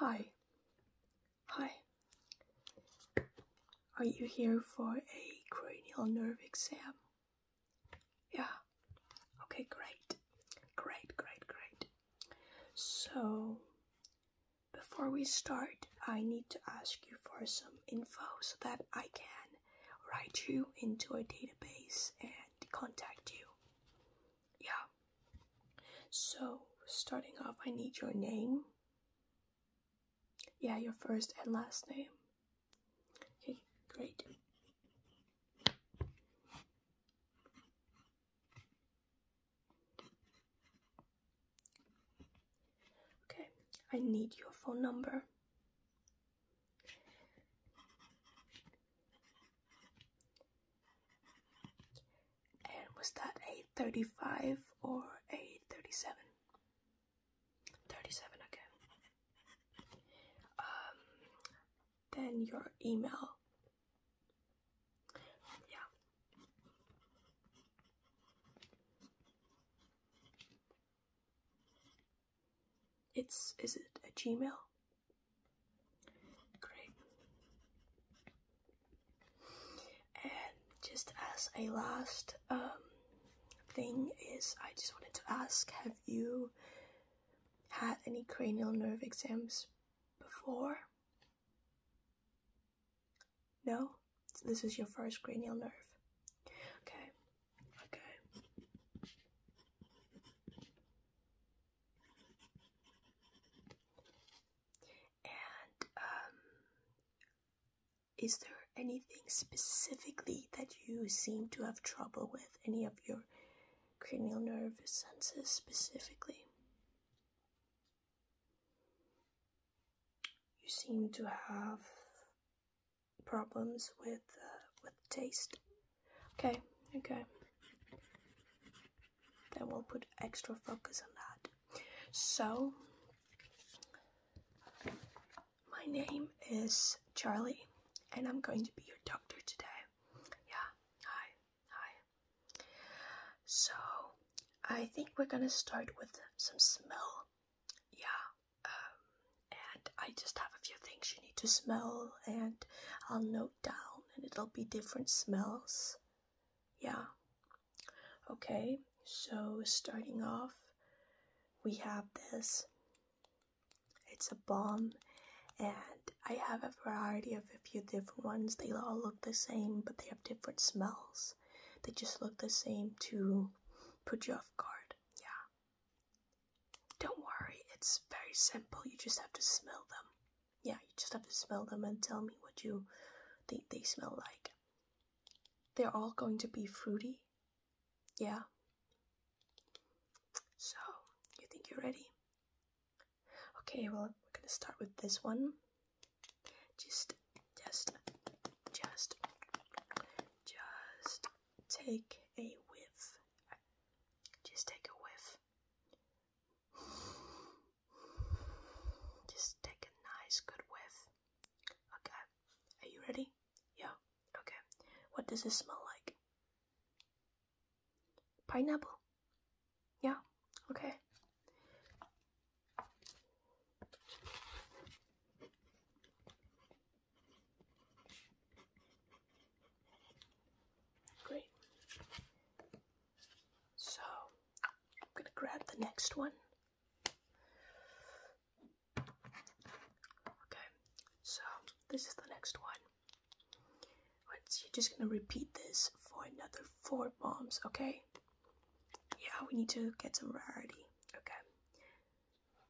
Hi. Hi. Are you here for a cranial nerve exam? Yeah. Okay, great. Great, great, great. So, before we start, I need to ask you for some info so that I can write you into a database and contact you yeah. So, starting off, I need your name. Yeah, your first and last name. Okay, great. Okay, I need your phone number. And was that a 35 or a 37? 37, okay. Um, then your email. Yeah. It's, is it a Gmail? Great. And just as a last um, thing is, I just wanted to ask, have you had any cranial nerve exams before? No? this is your first cranial nerve. Okay. Okay. And um, is there anything specifically that you seem to have trouble with? Any of your cranial nerve senses specifically? You seem to have problems with uh, with taste. Okay, okay. Then we'll put extra focus on that. So, my name is Charlie, and I'm going to be your doctor today. Yeah, hi, hi. So, I think we're gonna start with some smell. Yeah, um, and I just have a few things you need to smell, and I'll note down and it'll be different smells. Yeah. Okay, so starting off, we have this. It's a bomb, and I have a variety of a few different ones. They all look the same, but they have different smells. They just look the same to put you off guard. Yeah. Don't worry, it's very simple. You just have to smell them. Yeah, you just have to smell them and tell me what you think they smell like. They're all going to be fruity. Yeah. So, you think you're ready? Okay, well, we're gonna start with this one. Just, just, just, just take a whiff. Just take a whiff. Just take a nice good whiff. Okay, are you ready? Yeah, okay. What does it smell like? Pineapple. Yeah, okay. Great. So, I'm going to grab the next one. Okay, so this is the next one. So you're just going to repeat this for another four bombs, okay? Yeah, we need to get some variety. Okay.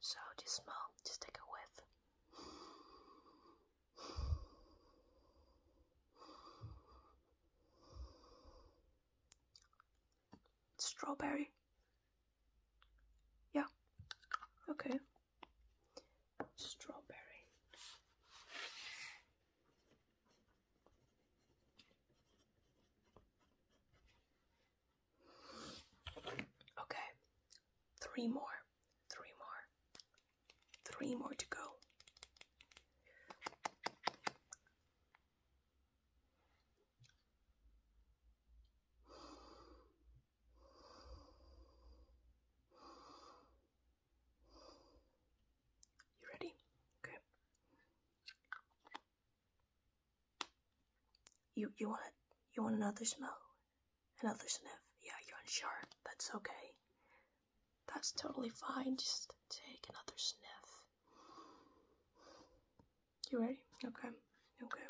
So just smell, just take a whiff. Strawberry. Yeah. Okay. Strawberry. Okay. Three more. Three more. Three more to go. You ready? Okay. You you want you want another smell? and elusive. Yeah, you're unsure. That's okay. That's totally fine. Just take another sniff. You ready? Okay. Okay.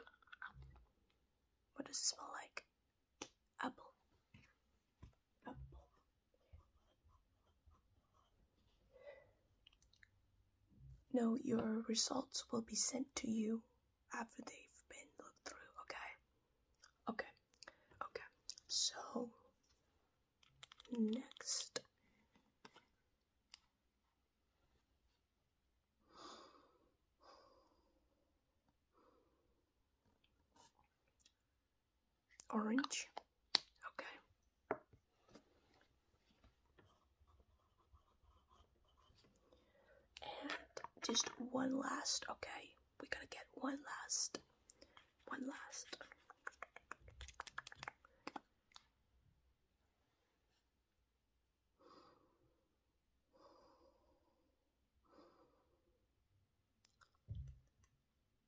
What does it smell like? Apple. No, your results will be sent to you after they've been looked through, okay? Okay, okay. So, next. Orange. Okay. And just one last, okay we gotta get one last, one last.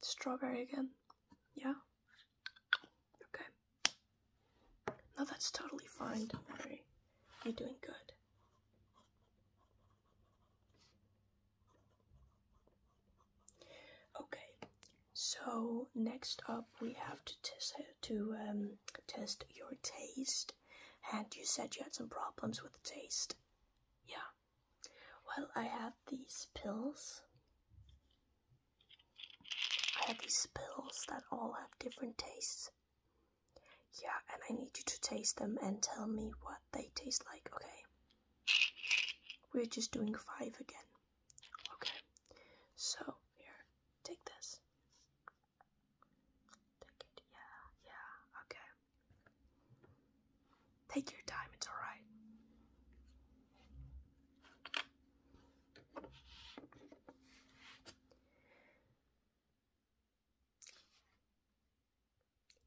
Strawberry again, yeah? Okay. No, that's totally fine, don't worry. You're doing good. Okay, so next up we have to test to um, test your taste. And you said you had some problems with taste. Yeah. Well, I have these pills. I have these pills that all have different tastes. Yeah, and I need you to taste them and tell me what they taste like, okay? We're just doing five again. Okay, so here, take this. Take it, yeah, yeah, okay. Take your time, it's alright.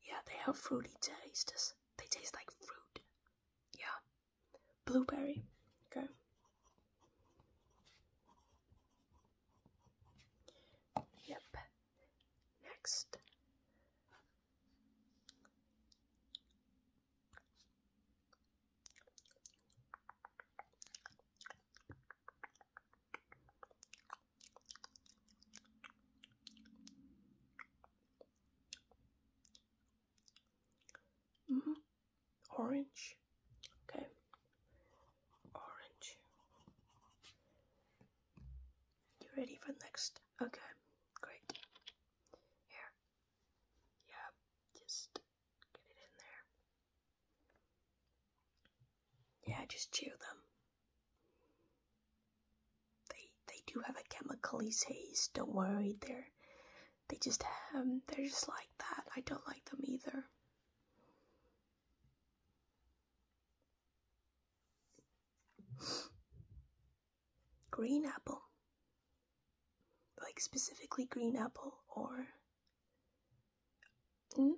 Yeah, they have fruity tastes. They taste like fruit. Yeah. Blueberry. Okay. Yep. Next. Mm -hmm. Orange. Okay. Orange. You ready for next? Okay. Great. Here. Yeah. Just get it in there. Yeah, just chew them. They they do have a chemically taste. Don't worry, they're they just have they're just like that. I don't like them either. Green apple, like specifically green apple or Mm?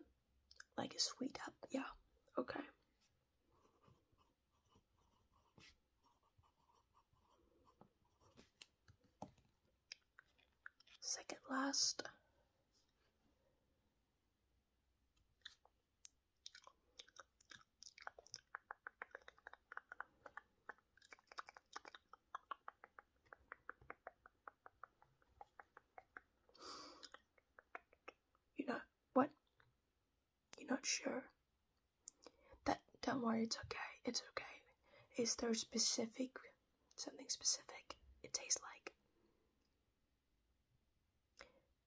Like a sweet up, yeah. Okay. Second last. You're not what? You're not sure? That don't worry, it's okay. It's okay. Is there specific something specific it tastes like?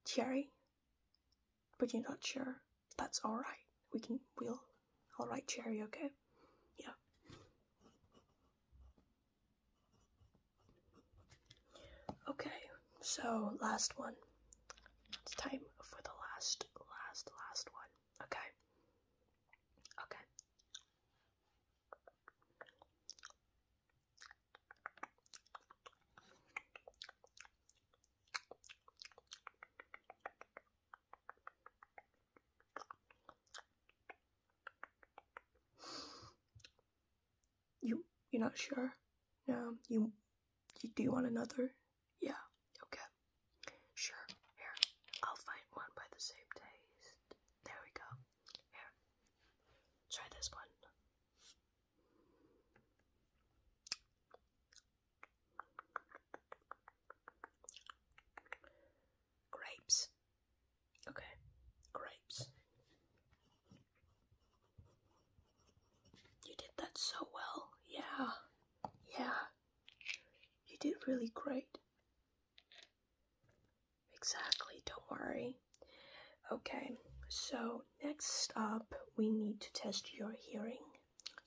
Cherry? But you're not sure. That's alright. We can we'll alright cherry, okay? Yeah. Okay, so last one. It's time for the last, last, last one. Okay. Okay. You you're not sure? No, you you do you want another? Yeah, okay. Sure. Here. I'll find one by the same taste. There we go. Here. Try this one. Grapes. Okay, grapes. You did that so well. Yeah, yeah. You did really great. Exactly, don't worry. Okay, so next up, we need to test your hearing.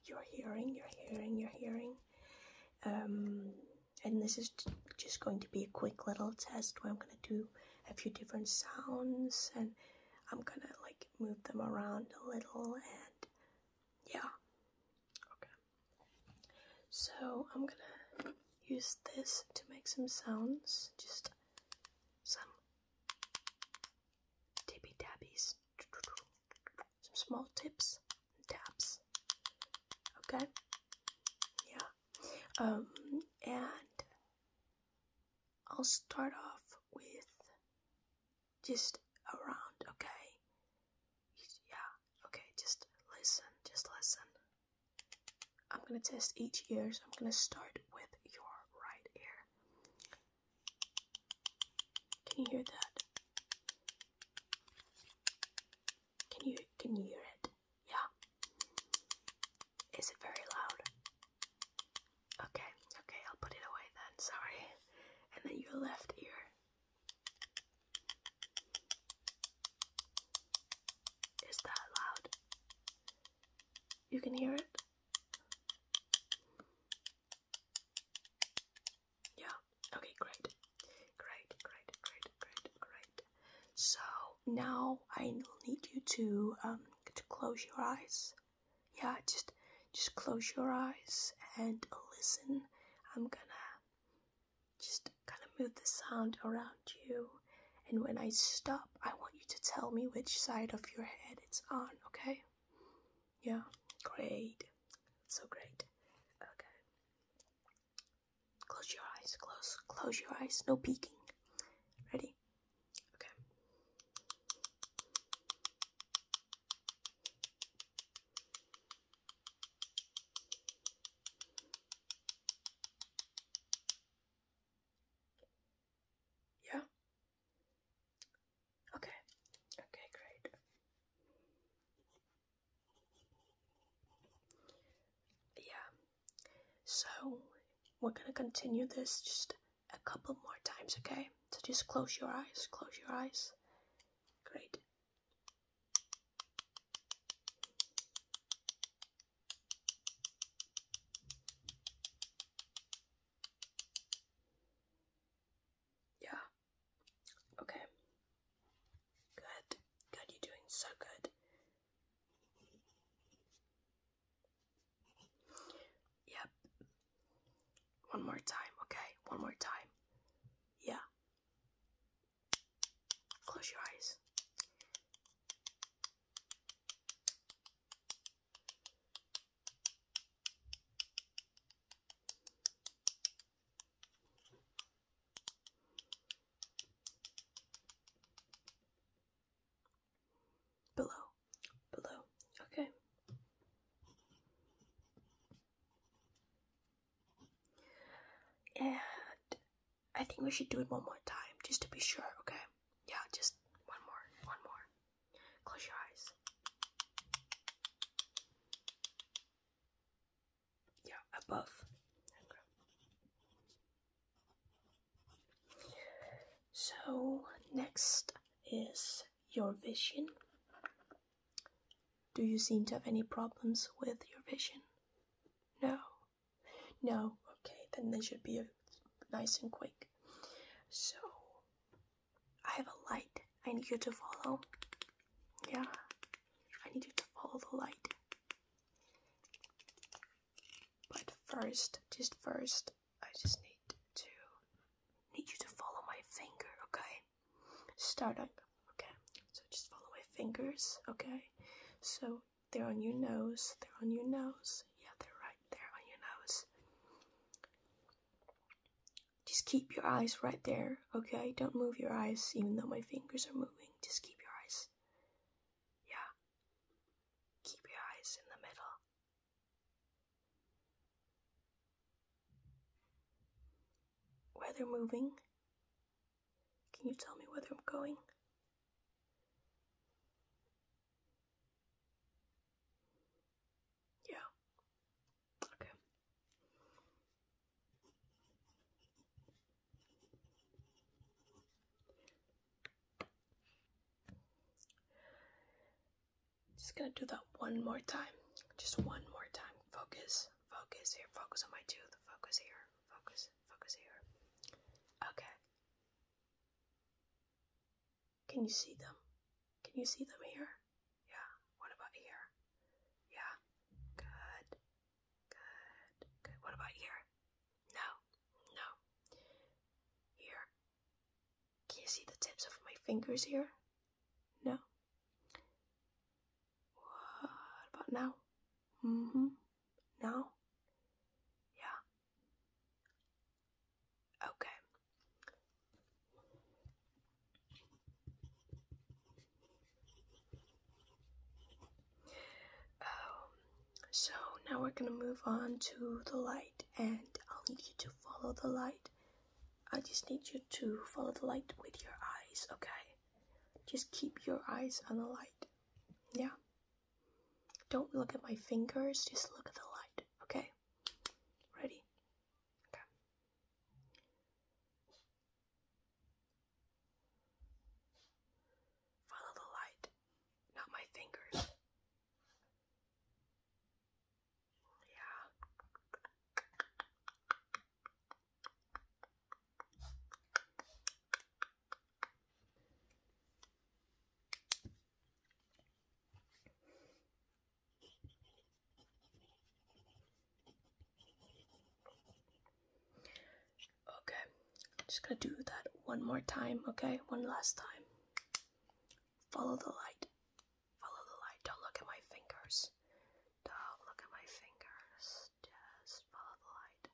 Your hearing, your hearing, your hearing. Um, and this is just going to be a quick little test where I'm gonna do a few different sounds and I'm gonna like move them around a little and yeah okay so I'm gonna use this to make some sounds just some tippy tappies, some small tips and taps okay yeah um, and I'll start off with just around, okay? Yeah, okay, just listen, just listen. I'm gonna test each ear, so I'm gonna start with your right ear. Can you hear that? Can you can you hear it? Yeah. Is it very loud? Okay, okay, I'll put it away then, sorry. And then your left ear. Is that loud? You can hear it? Yeah, okay, great. Great, great, great, great, great. So now I need you to um to close your eyes. Yeah, just just close your eyes and listen. I'm gonna just kind of move the sound around you. And when I stop, I want you to tell me which side of your head it's on, okay? Yeah, great. So great. Okay. Close your eyes. Close. Close your eyes. No peeking. Ready? Okay. Yeah? Okay. Okay, great. Yeah. So we're gonna continue this just a couple more times, okay? So just close your eyes, close your eyes. Great. Yeah. Okay. Good. God, you're doing so good. Yep. One more time, okay? One more time. Yeah. Close your eyes. Below, below, okay. And I think we should do it one more time just to be sure, okay? Yeah, just one more, one more. Close your eyes yeah, above. So next is your vision. Do you seem to have any problems with your vision? No. No. Okay, then they should be nice and quick. So I have a light. I need you to follow. Yeah. I need you to follow the light. But first, just first, I just need to need you to follow my finger, okay? Start up, okay? So just follow my fingers, okay? So they're on your nose, they're on your nose. Yeah, they're right there on your nose. Just keep your eyes right there, okay? Don't move your eyes even though my fingers are moving. Just keep your eyes yeah. Keep your eyes in the middle. Where they're moving. Can you tell me where they're going? Yeah. Okay. Just gonna do that one more time. Just one more time. Focus, focus here. Focus on my tooth. Focus here. Focus, focus here. Okay. Can you see them? Can you see them here? Yeah. What about here? Yeah. Good. Good. Good. What about here? No. No. Here. Can you see the tips of my fingers here? No. What about now? hmm Now? Yeah. Okay. Um, so now we're gonna move on to the light, and I'll need you to follow the light. I just need you to follow the light with your eyes, okay? Just keep your eyes on the light, yeah? Don't look at my fingers, just look at the light, okay? Ready? Okay. Follow the light, not my fingers. Yeah. Okay, I'm just gonna do that one more time, okay? One last time. Follow the light. Follow the light. Don't look at my fingers. Don't look at my fingers. Just follow the light.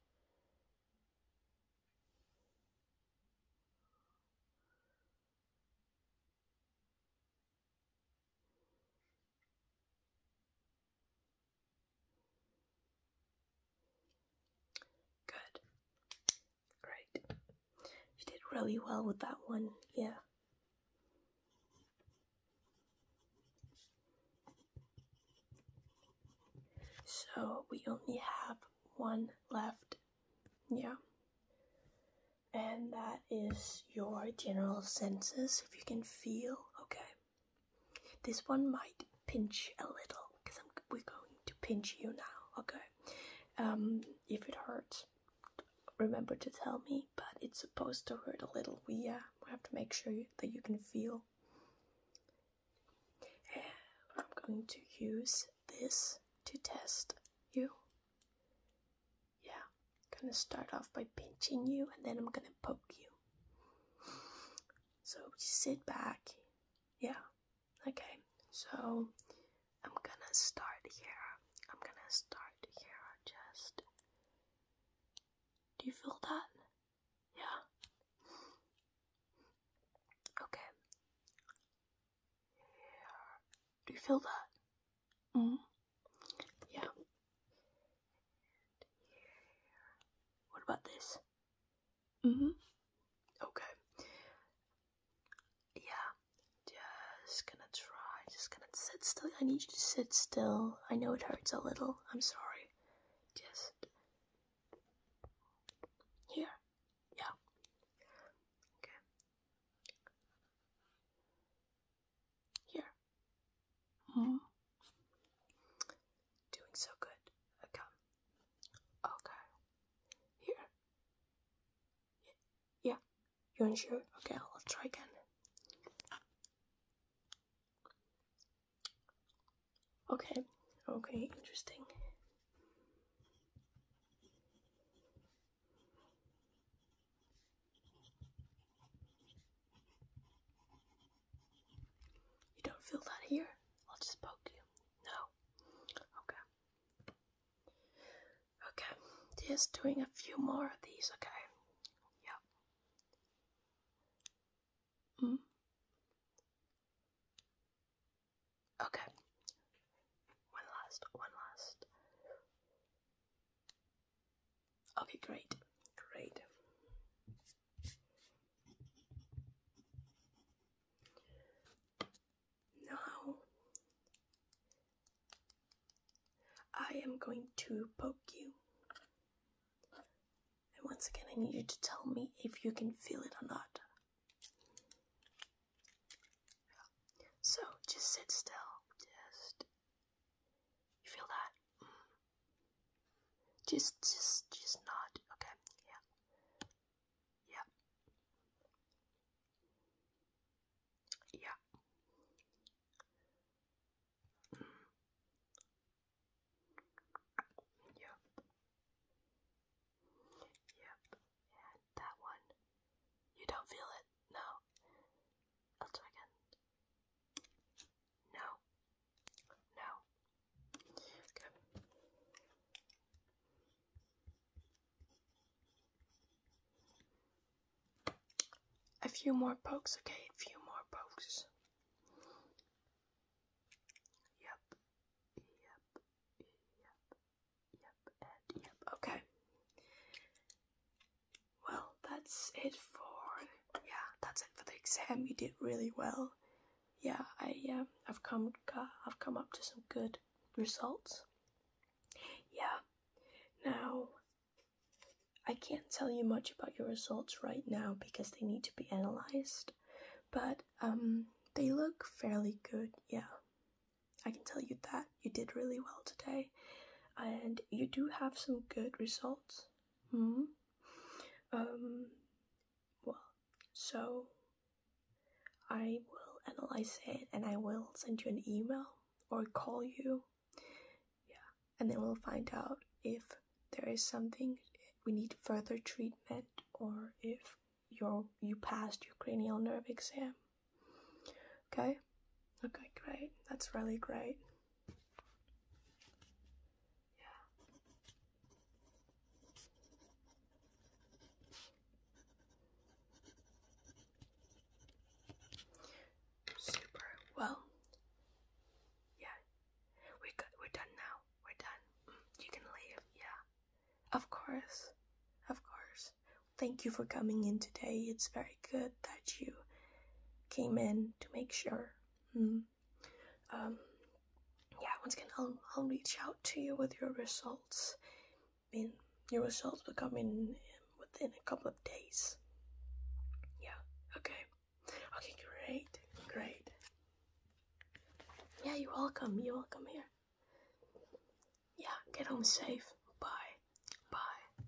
Good. Great. You did really well with that one, yeah. So we only have one left, yeah. And that is your general senses, if you can feel, okay. This one might pinch a little because we're going to pinch you now, okay? Um, if it hurts, remember to tell me, but it's supposed to hurt a little. We, uh, we have to make sure that you can feel. I'm going to use this to test you. Yeah, I'm gonna start off by pinching you and then I'm gonna poke you you. So just sit back. Yeah. Okay. So I'm gonna start here. I'm gonna start here. Just. Do you feel that? Yeah. Okay. Here. Do you feel that? Mm. -hmm. Yeah. What about this? Mm-hmm. Okay. Yeah. Just gonna try. Just gonna sit still. I need you to sit still. I know it hurts a little. I'm sorry. Just here. Yeah. Okay. Here. Mm. Doing so good. Okay. Okay. Here. Yeah. You are sure? Okay, I'll try again. Okay. Okay, interesting. You don't feel that here? I'll just poke you. No. Okay. Okay. Just doing a few more of these, okay? Yeah. Mm. Okay. One last, one last. Okay, great, great. Now I am going to poke you. And once again, I need you to tell me if you can feel it or not. So just sit still. Just you feel that? Mm. Just, just, just nod. Okay, yeah. Yeah. Yeah. Yep. Mm. Yep. And that one. You don't feel it? No. I'll do again. No. No. A few more pokes, okay? A few more pokes. Yep. Yep. Yep. Yep. yep. Okay. Well, that's it for yeah, that's it for the exam. You did really well. Yeah, I um, I've come I've come up to some good results. Yeah. Now, I can't tell you much about your results right now because they need to be analyzed, but um, they look fairly good. Yeah, I can tell you that you did really well today, and you do have some good results. Hmm. Um. Well, so I will analyze it and I will send you an email or call you. Yeah, and then we'll find out if there is something we need further treatment or if your you passed your cranial nerve exam. Okay. Okay. great. That's really great. Yeah. Super. Well, yeah. we We're done now. We're done. Mm, you can leave. Yeah. Of course. Of course. Thank you for coming in today. It's very good that you came in to make sure. Mm. Um, yeah, once again, I'll, I'll reach out to you with your results. I your results will come in um, within a couple of days. Yeah, okay. Okay, great, great. Yeah, you're welcome, you're welcome here. Yeah, get home safe. Bye. Bye.